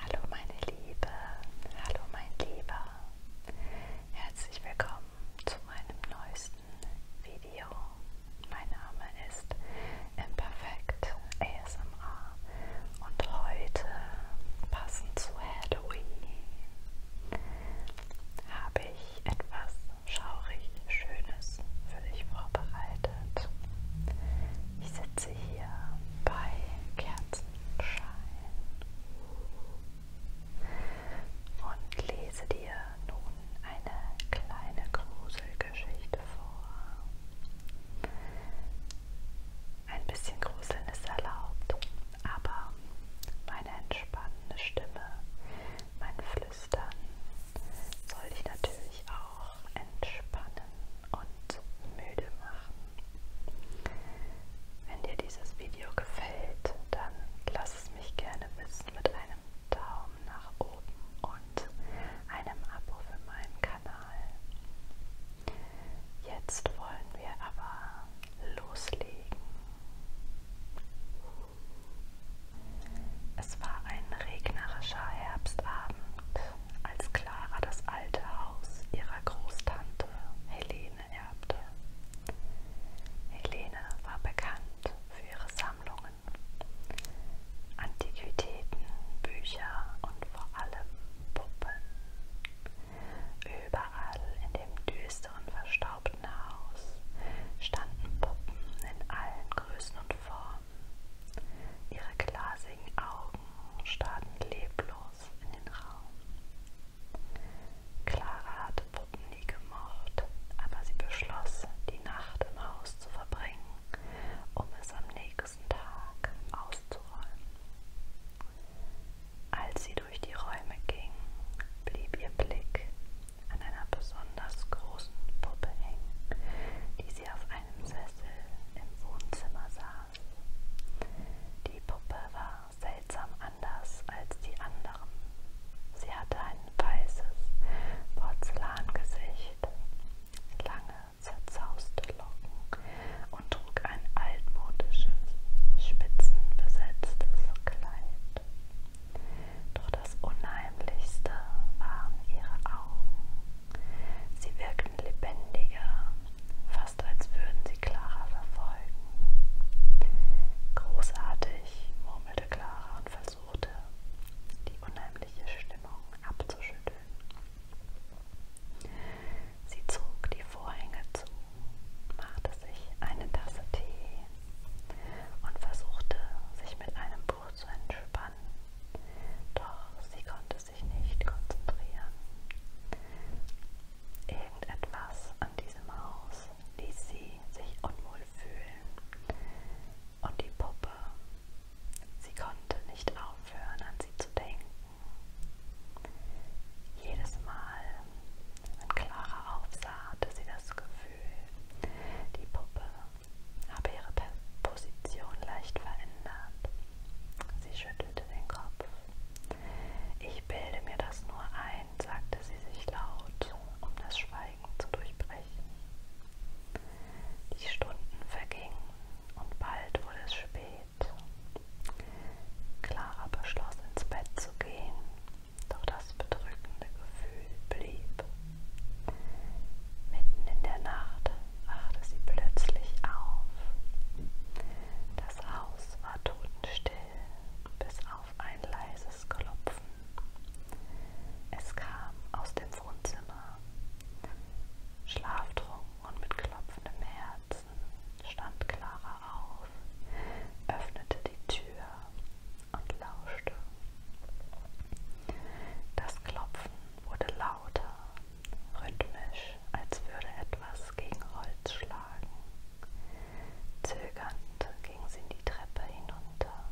Hallo meine Liebe, hallo mein Lieber, herzlich willkommen zu meinem neuesten Video. Mein Name ist Imperfect ASMR und heute passend zu Halloween habe ich etwas schaurig Schönes Videos für dich vorbereitet. Ich sitze hier bei Kerzenschein und lese dir nun eine kleine Gruselgeschichte vor. Ein bisschen Gruseln ist erlaubt, aber meine entspannende Stimme, mein Flüstern, ist, dann soll ich natürlich auch entspannen und müde machen. Wenn dir dieses Video gefällt, dann lass es mich gerne wissen mit einem Daumen nach oben und einem Abo für meinen Kanal. Jetzt wollen wir aber loslegen. Es war ein regnerischer Herbstabend, als Clara das alte Haus ihrer Großtante Helene erbte. Helene war bekannt für ihre Sammlungen, Antiquitäten, Bücher und vor allem Puppen. Überall in dem düsteren, verstaubten Haus standen Puppen in allen Größen und Formen. Ihre glasigen Augen starrten leblos in den Raum. Clara hatte Puppen nie gemocht, aber sie beschloss, die Nacht im Haus zu verbringen, um es am nächsten Tag auszuräumen. Als sie durch die Räume ging, blieb ihr Blick an einer besonders großen Puppe hing, die sie auf einem Sessel im Wohnzimmer saß. Die Puppe war seltsam anders als die anderen. Sie hatte ein weißes Porzellangesicht, lange zerzauste Locken und trug ein altmodisches, spitzenbesetztes Kleid. Doch das Unheimlichste waren ihre Augen. Sie wirkten lebendiger, fast als würden sie Clara verfolgen. Großartig, murmelte Clara und versuchte, die unheimliche Stimmung abzuschütteln. Sie zog die Vorhänge zu, machte sich eine Tasse Tee und versuchte, sich mit einem versucht zu entspannen, doch sie konnte sich nicht konzentrieren. Irgendetwas an diesem Haus ließ sie sich unwohl fühlen und die Puppe, sie konnte nicht aufhören an sie zu denken. Jedes Mal, wenn Clara aufsah, hatte sie das Gefühl, die Puppe habe ihre Position leicht verändert. Sie schüttelte den Kopf. Ich bilde mir das nur ein, sagte sie sich laut, um das Schweigen zu durchbrechen. Die Stunden vergingen und bald wurde es spät. Clara beschloss, ins Bett zu gehen, doch das das bedrückende Gefühl blieb. Mitten in der Nacht wachte sie plötzlich auf. Das Haus war totenstill, bis auf ein leises Klopfen. Es kam aus dem Wohnzimmer. Schlaftrunken und mit klopfendem Herzen stand Clara auf, öffnete die Tür und lauschte. Das Klopfen wurde lauter, rhythmisch, als würde etwas gegen Holz schlagen. Zögernd ging sie die Treppe hinunter.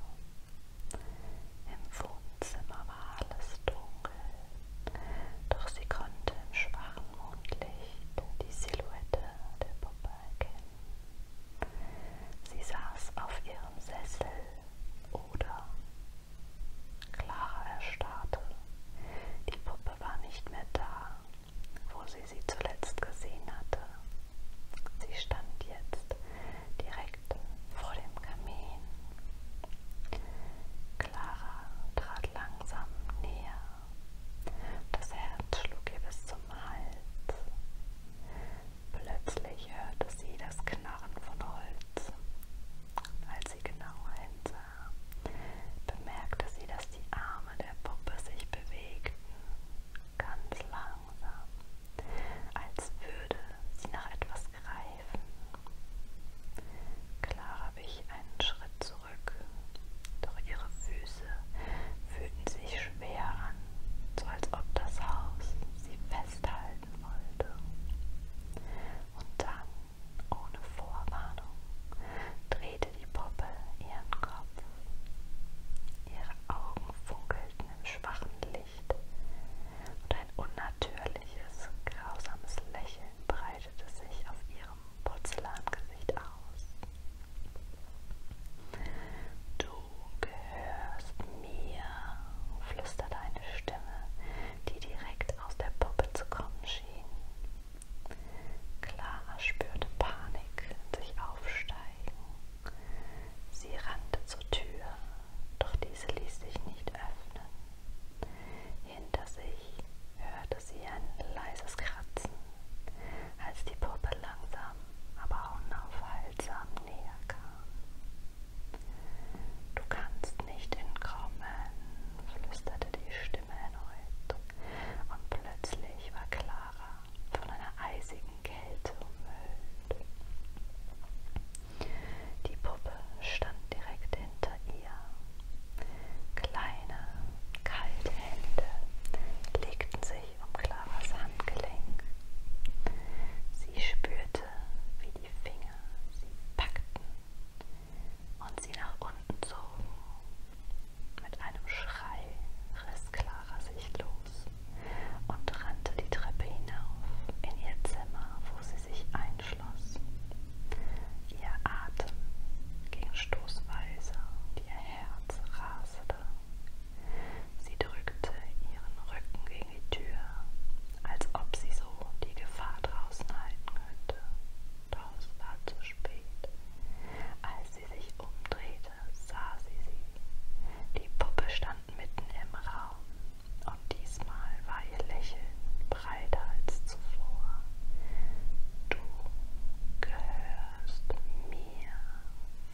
Im Wohnzimmer war alles dunkel, doch sie konnte im schwachen Mondlicht die Silhouette der Puppe erkennen. Sie saß auf ihrem Sessel oder Clara erstarrte. Die Puppe war nicht mehr da, wo sie sie zuletzt gesehen hatte. Sie stand jetzt direkt vor dem Kamin. Clara trat langsam näher. Das Herz schlug ihr bis zum Hals. Plötzlich hörte sie das Knarren von Holz. Als sie genau hinsah, bemerkte sie, dass die Arme der Puppe sich bewegten, ganz langsam, als würde sie nach etwas greifen. Clara wich einen Schritt zurück, doch ihre Füße fühlten sich schwer an so als ob das Haus sie festhalten wollte. Und dann, ohne Vorwarnung, drehte die Puppe ihren Kopf. Ihre Augen funkelten im schwachen Licht und ein unnatürliches, grausames Lächeln breitete sich auf ihrem Porzellangesicht aus. Du gehörst mir, flüsterte eine Stimme, die direkt aus der Puppe zu kommen schien. Clara spürte Panik sich aufsteigen. Sie rannte zur Tür, doch diese ließ sich nicht öffnen. Hinter sich hörte sie ein leises Kratzen, als die Puppe langsam aber unaufhaltsam näher kam. Du kannst nicht entkommen, flüsterte die Stimme erneut, und plötzlich war Clara von einer eisigen Kälte umhüllt. Die Puppe stand direkt hinter ihr. Kleine, kalte Hände legten sich sich um Claras Handgelenk. Sie spürte, wie die Finger sie packten und sie nach unten zogen. Mit einem Schrei riss Clara sich los und rannte die Treppe hinauf in ihr Zimmer, wo sie sich einschloss. Ihr Atem ging stoßweise und ihr Herz rasete. Sie drückte ihren Rücken gegen die Tür, als ob sie so die Gefahr draußen halten könnte. Doch es war zu spät. Als sie sich umdrehte, sah sie sie. Die Puppe stand mitten im Raum und diesmal war ihr Lächeln breiter als zuvor. Du gehörst mir,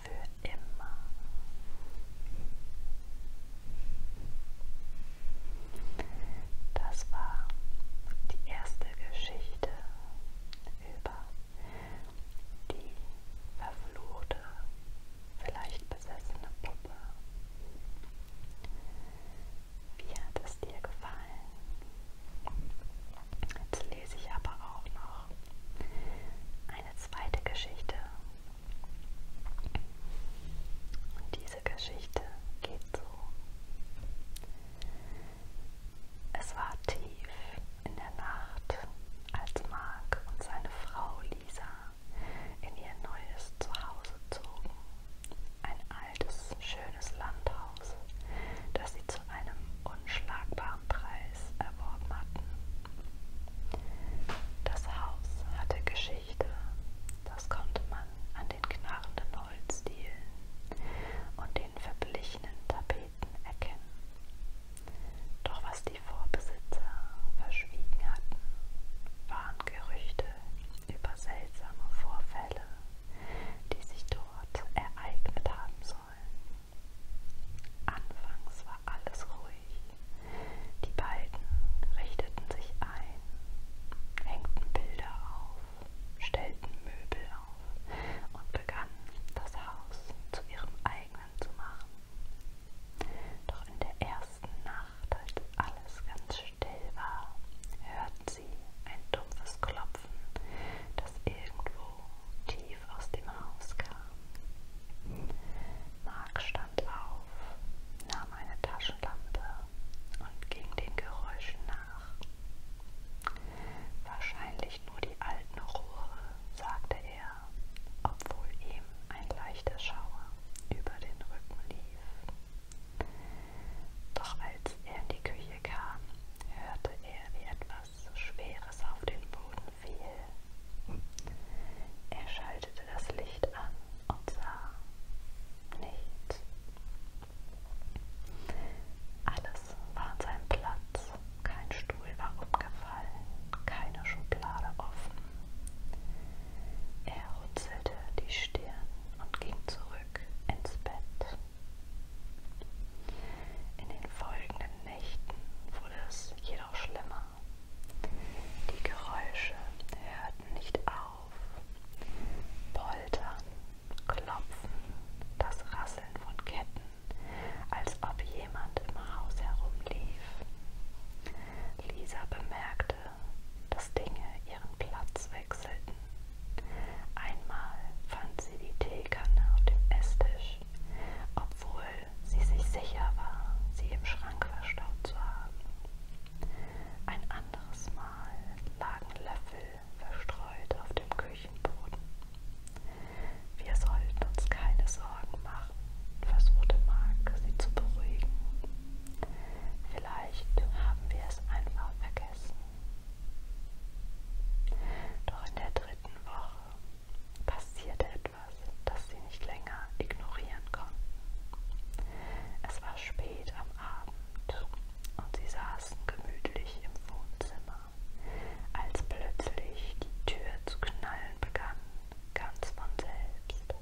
für immer. Das war die erste Geschichte über die verfluchte, vielleicht besessene Puppe. Wie hat es dir gefallen? Jetzt lese ich aber auch noch eine zweite Geschichte. Und diese Geschichte geht so. Es war tief in der Nacht, als Mark und seine Frau Lisa in ihr neues Zuhause zogen. Ein altes, schönes Landhaus, das sie zu zu einem unschlagbaren Preis erworben hatten. Das Haus hatte Geschichte, das konnte man an den knarrenden Holzdielen und den verblichenen Tapeten erkennen. Doch was die Vorbesitzer verschwiegen hatten, waren Gerüchte über seltsame Vorfälle, die sich dort ereignet haben sollen. Anfangs war alles ruhig. Die beiden richteten sich ein, hängten Bilder auf, stellten Möbel auf und begannen, das Haus zu ihrem eigenen zu machen. Doch in der ersten Nacht, als alles ganz still war, hörten sie ein dumpfes Klopfen, das irgendwo tief naiv aus dem Haus kam. Mark stand auf, nahm eine Taschenlampe und ging den Geräuschen nach. Wahrscheinlich nur die alten Rohre, sagte er, obwohl ihm ein leichter Schauer über den Rücken lief. Doch als er in die Küche kam, hörte er, wie etwas etwas Schweres auf den Boden fiel. Er schaltete das Licht an und sah nichts. Alles war an seinem Platz, kein Stuhl war umgefallen, keine Schublade offen. Er runzelte die Stirn und ging zurück ins Bett. In den folgenden Nächten wurde es jedoch schlimmer. Die Geräusche hörten nicht auf. Poltern, Klopfen, das Rasseln von Ketten, als ob jemand im Haus herumlief. Lisa bemerkte, dass Dinge ihren Platz wechselten. Einmal fand sie die Teekanne auf dem Esstisch, obwohl sie sich sicher war, sie im Schrank verstaut zu haben. Ein anderes Mal lagen Löffel verstreut auf dem Küchenboden. Wir sollten uns keine Sorgen machen, versuchte Mark, sie zu beruhigen. Vielleicht haben wir es einfach vergessen. Doch in der dritten Woche passierte etwas, das sie nicht länger ignorieren konnten. Es war spät am Abend und sie saßen gemütlich im Wohnzimmer, als plötzlich die Tür zu knallen begann, ganz von selbst.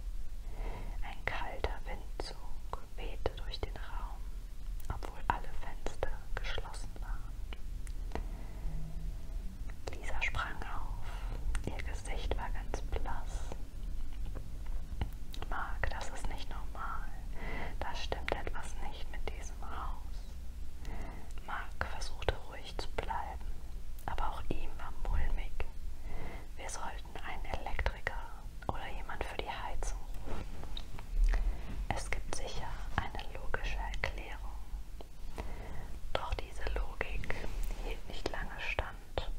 Ein kalter Windzug wehte durch den Raum obwohl alle Fenster geschlossen waren. Lisa sprang auf, ihr Gesicht war ganz blass. Marc, das ist nicht normal. Da stimmt etwas nicht mit diesem Haus. Marc versuchte ruhig zu bleiben, aber auch ihm war mulmig. Wir sollten einen Elektriker oder jemand für die Heizung rufen. Es gibt sicher eine logische Erklärung. Doch diese Logik hielt nicht lange stand.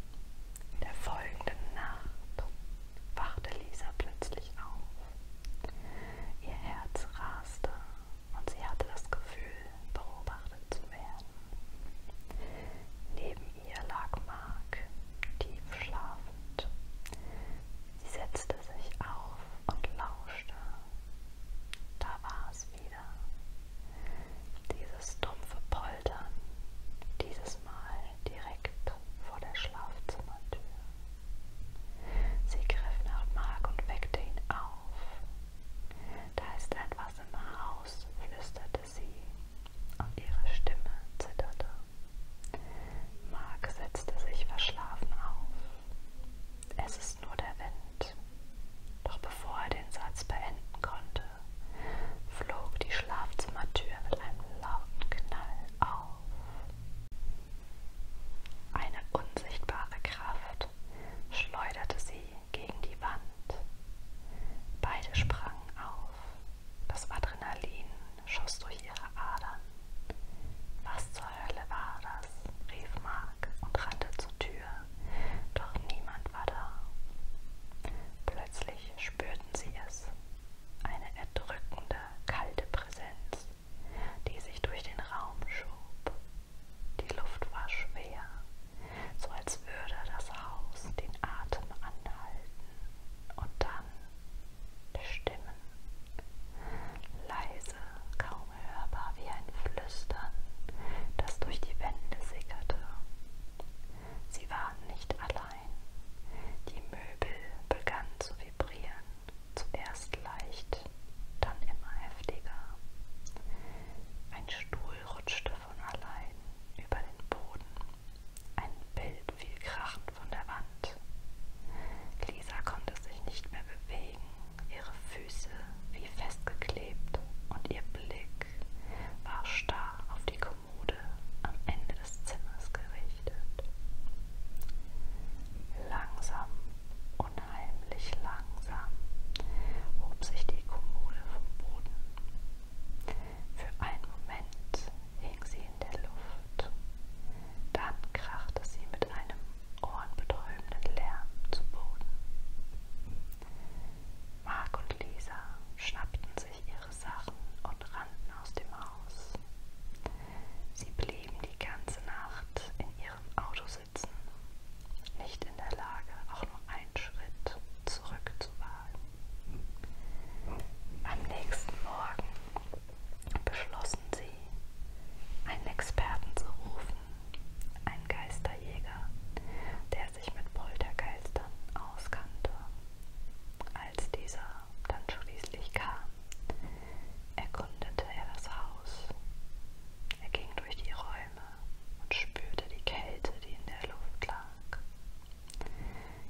Der folgenden Nacht wachte Lisa plötzlich auf. Ihr Herz raste und sie hatte das Gefühl, beobachtet zu werden. Neben ihr lag Mark, tief schlafend. Sie setzte sich auf und lauschte. Da war es wieder. Dieses dumpfe Poltern, dieses Mal direkt vor der Schlafzimmertür. Sie griff nach Mark und weckte ihn auf. Da ist etwas im Haus, flüsterte sie, und ihre Stimme zitterte. Mark setzte sich verschlafen auf. Es ist nur der Wind. Doch bevor er den Satz beenden konnte, flog die Schlafzimmertür mit einem lauten Knall auf. Eine unsichtbare Kraft schleuderte sie gegen die Wand. Beide sprangen auf. Das Adrenalin schoss durch ihre Adern. Was zur Hölle war das? rief Mark und rannte zur Tür, doch niemand war da. Plötzlich spürten sie es, eine erdrückende, kalte Präsenz, die sich durch den Raum schob. Die Luft war schwer, so als würde das Haus den Atem anhalten und dann Stimmen, leise, kaum hörbar wie ein Flüstern, das durch die Wände sickerte. Sie waren nicht allein. Die Möbel begannen zu vibrieren, zuerst leicht, dann immer heftiger. Ein Stuhl rutschte von allein über den Boden ein Bild fiel krachend von der Wand. Lisa konnte sich nicht mehr bewegen, ihre Füße wie festgeklebt und ihr Blick war starr auf die Kommode am Ende des Zimmers gerichtet. Langsam, unheimlich langsam hob sich die Kommode vom Boden. Für einen Moment hing sie in der Luft. Dann krachte sie mit einem ohrenbetäubenden Lärm zu Boden. Mark und Lisa schnappten sich ihre Sachen und rannten aus dem Haus. Sie blieben die ganze Nacht in ihrem Auto sitzen, nicht in der Lage, auch nur einen Schritt zurückzuwagen. Am nächsten Morgen beschlossen sie, einen Experten zu rufen, einen Geisterjäger, der sich mit Poltergeistern auskannte. Als dieser dann schließlich kam, erkundete er das Haus. Er ging durch die Räume und spürte die Kälte, die in der Luft lag.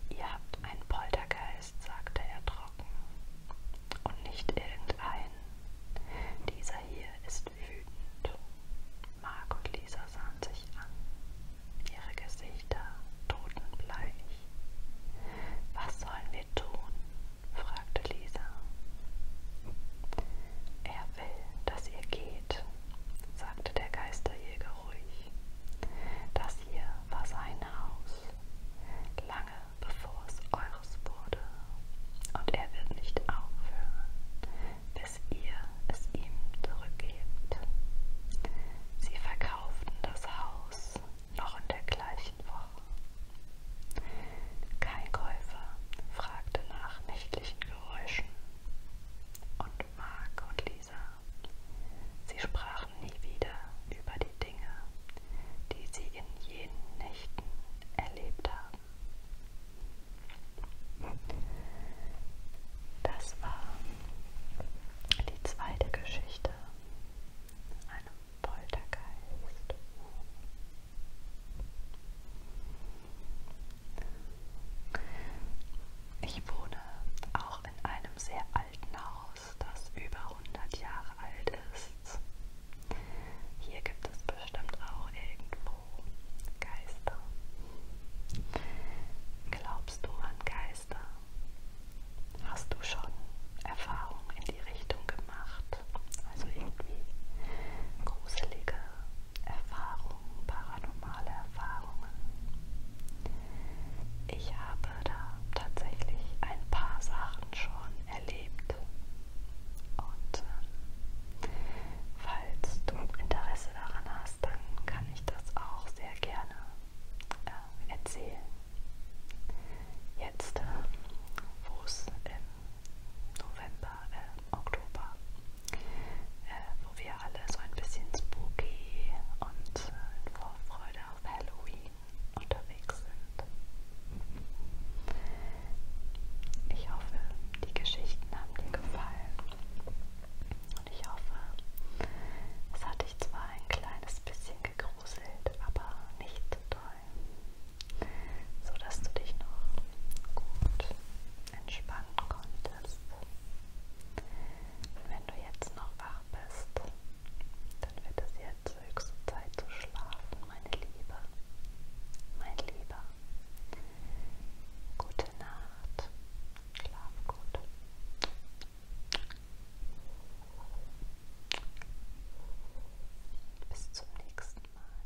Ihr habt einen Poltergeist, sagte er trocken. Und nicht irgendeinen. Dieser hier ist wütend. Marc und Lisa sahen sich an. Ihre Gesichter totenbleich. Was sollen wir tun? fragte Lisa. Er will, dass ihr geht, sagte der Geisterjäger ruhig. Das das hier war sein Haus, lange bevor es eures wurde. Und er wird nicht aufhören, bis ihr es ihm zurückgebt. Sie verkauften das Haus noch in der gleichen Woche. Kein Käufer fragte nach nächtlichen Geräuschen. Und Mark und Luisa. Sie sprachen nie wieder über die Dinge, die sie in jenen Nächten erlebt haben. Das war die zweite Geschichte einem Poltergeist. Ich wohne auch auch in einem sehr alten Haus, das über 100 Jahre alt ist. Hier gibt es bestimmt auch irgendwo Geister. Glaubst du an Geister? Hast du schon Erfahrungen in die Richtung gemacht? Also irgendwie gruselige Erfahrungen, paranormale Erfahrungen? Ich habe da tatsächlich ein paar Sachen schon erlebt. Und äh, falls du Interesse daran hast, dann kann ich das auch sehr gerne äh, erzählen. Jetzt, äh, wo es im November, äh, Oktober äh, wo wir alle so ein bisschen spooky und äh, in Vorfreude auf Halloween unterwegs sind. Ich hoffe, die Geschichten haben dir gefallen und ich hoffe, es hat dich zwar ein kleines bisschen gegruselt, aber nicht zu doll, sodass du dich noch gut entspannen konntest möchtest. Wenn du jetzt noch wach bist, dann wird es jetzt höchste Zeit zu schlafen, meine Liebe. Mein Lieber. Gute Nacht. Schlaf gut. Bis zum nächsten Mal.